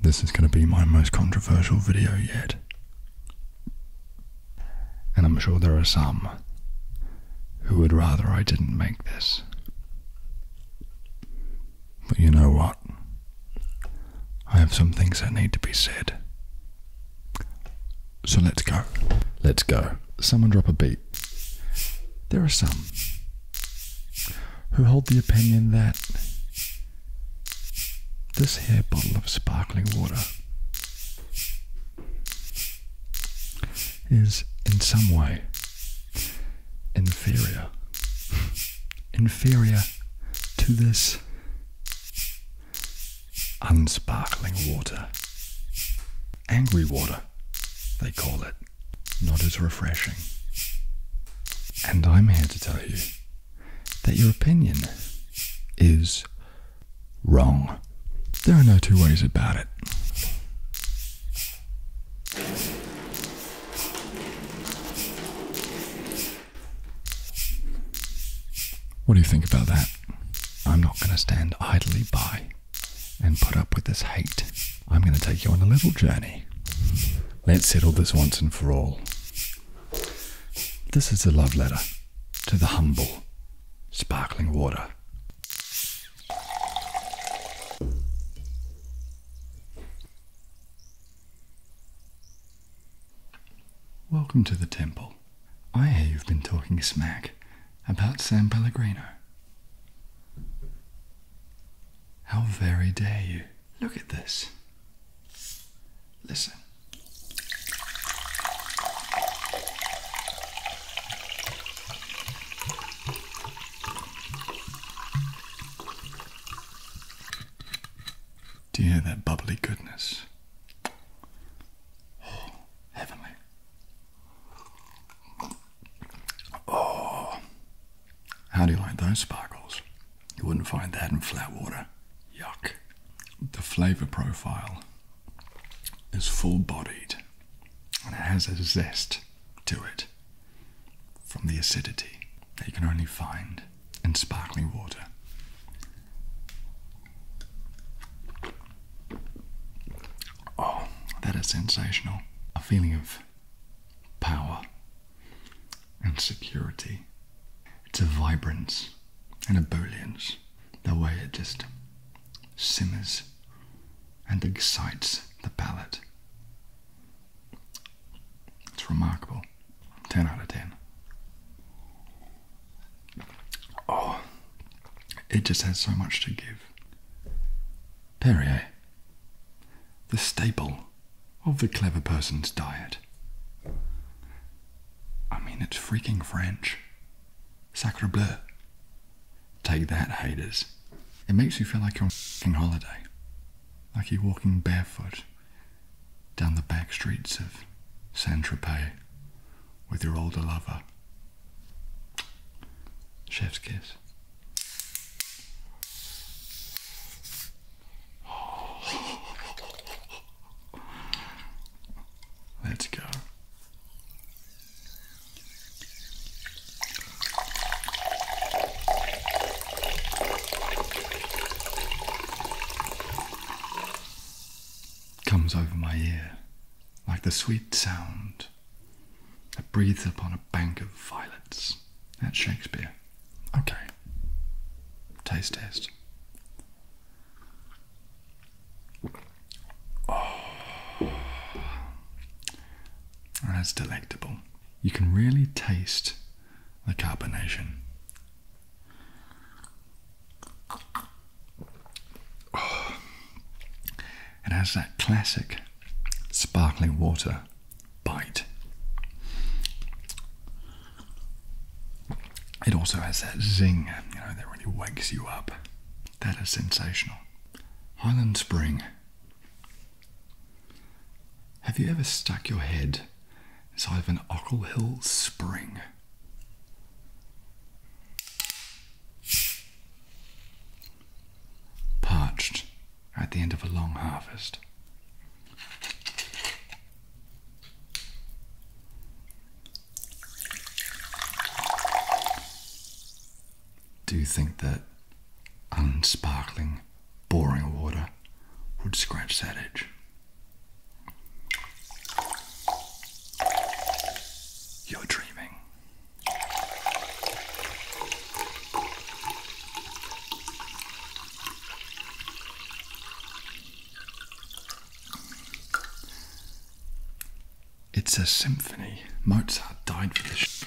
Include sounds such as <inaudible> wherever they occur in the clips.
This is going to be my most controversial video yet. And I'm sure there are some who would rather I didn't make this. But you know what? I have some things that need to be said. So let's go. Let's go. Someone drop a beat. There are some who hold the opinion that this here bottle of sparkling water is in some way inferior inferior to this unsparkling water angry water they call it not as refreshing. And I'm here to tell you that your opinion is wrong. There are no two ways about it. What do you think about that? I'm not going to stand idly by and put up with this hate. I'm going to take you on a little journey. Let's settle this once and for all. This is a love letter to the humble, sparkling water. Welcome to the temple. I hear you've been talking smack about San Pellegrino. How very dare you? Look at this. Listen. Do you hear that bubbly goodness? Oh, heavenly. Oh, how do you like those sparkles? You wouldn't find that in flat water. Yuck. The flavor profile is full bodied and it has a zest to it from the acidity that you can only find in sparkling water. Oh, that is sensational. A feeling of power and security. It's a vibrance and ebullience, the way it just simmers and excites the palate. It's remarkable. 10 out of 10. Oh, it just has so much to give. Perrier, the staple of the clever person's diet. I mean, it's freaking French. Sacre bleu. Take that, haters. It makes you feel like you're on a fucking holiday, like you're walking barefoot down the back streets of Saint Tropez with your older lover. Chef's kiss. Let's go. Comes over my ear like the sweet sound that breathes upon a bank of violets that's Shakespeare. Okay. Taste test. Oh, that's delectable. You can really taste the carbonation. Oh. it has that classic sparkling water bite. It also has that zing, you know, that really wakes you up. That is sensational. Highland Spring. Have you ever stuck your head inside an Ockle Hill spring? Parched at the end of a long harvest. Do you think that unsparkling, boring water would scratch that edge? You're dreaming. It's a symphony. Mozart died for this.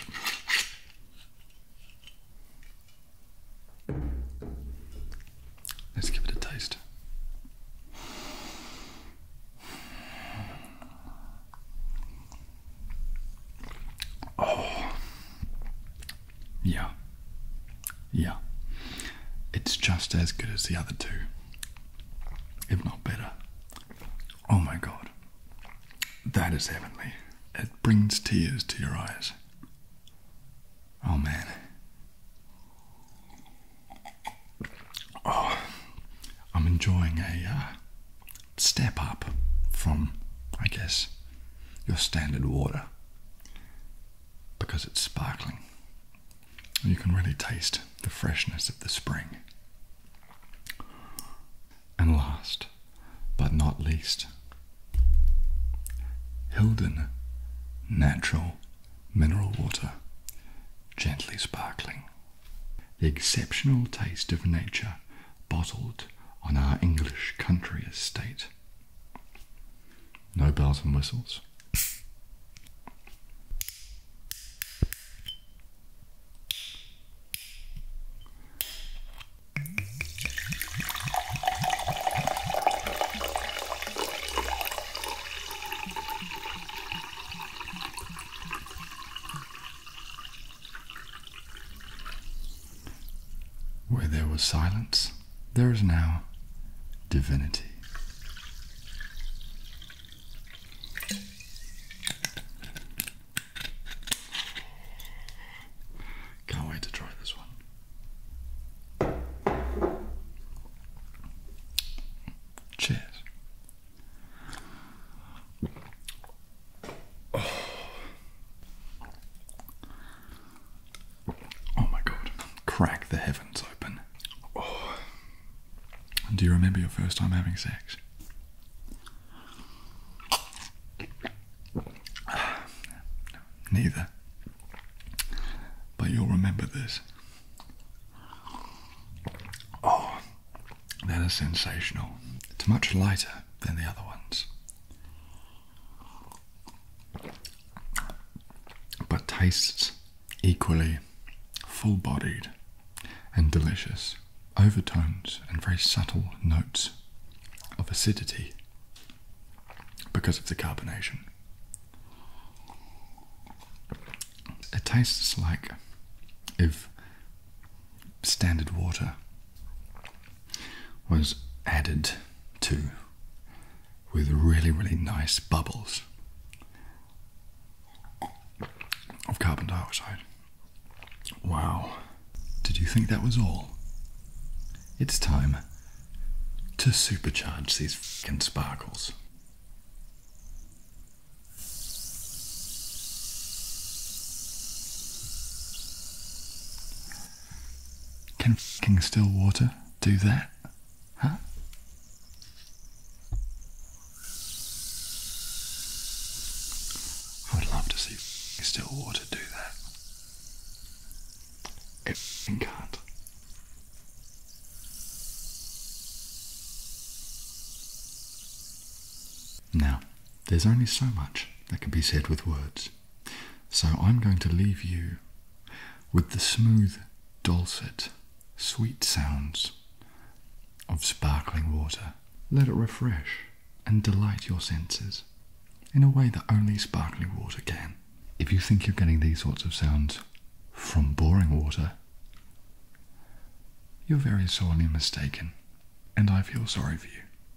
Let's give it a taste. Oh, yeah, yeah. It's just as good as the other two, if not better. Oh my god, that is heavenly. It brings tears to your eyes. Oh man. Oh, I'm enjoying a uh, step up from, I guess, your standard water because it's sparkling. You can really taste the freshness of the spring. And last but not least, Hilden Natural Mineral Water, gently sparkling. The exceptional taste of nature bottled on our English country estate. No bells and whistles. Where there was silence, there is now divinity. Can't wait to try this one. Cheers. Oh. oh. my god. Crack the heavens open. Oh. Do you remember your first time having sex? <sighs> Neither. But you'll remember this. Oh, that is sensational. It's much lighter than the other ones. But tastes equally full bodied and delicious, overtones and very subtle notes of acidity because of the carbonation. It tastes like if standard water was added to with really, really nice bubbles of carbon dioxide. Wow. Did you think that was all? It's time to supercharge these fucking sparkles. Can fucking Stillwater do that? Huh? I would love to see Stillwater do that. It can't. Now. There's only so much that can be said with words. So I'm going to leave you with the smooth, dulcet, sweet sounds of sparkling water. Let it refresh and delight your senses in a way that only sparkling water can. If you think you're getting these sorts of sounds from boring water, you're very sorely mistaken, and I feel sorry for you.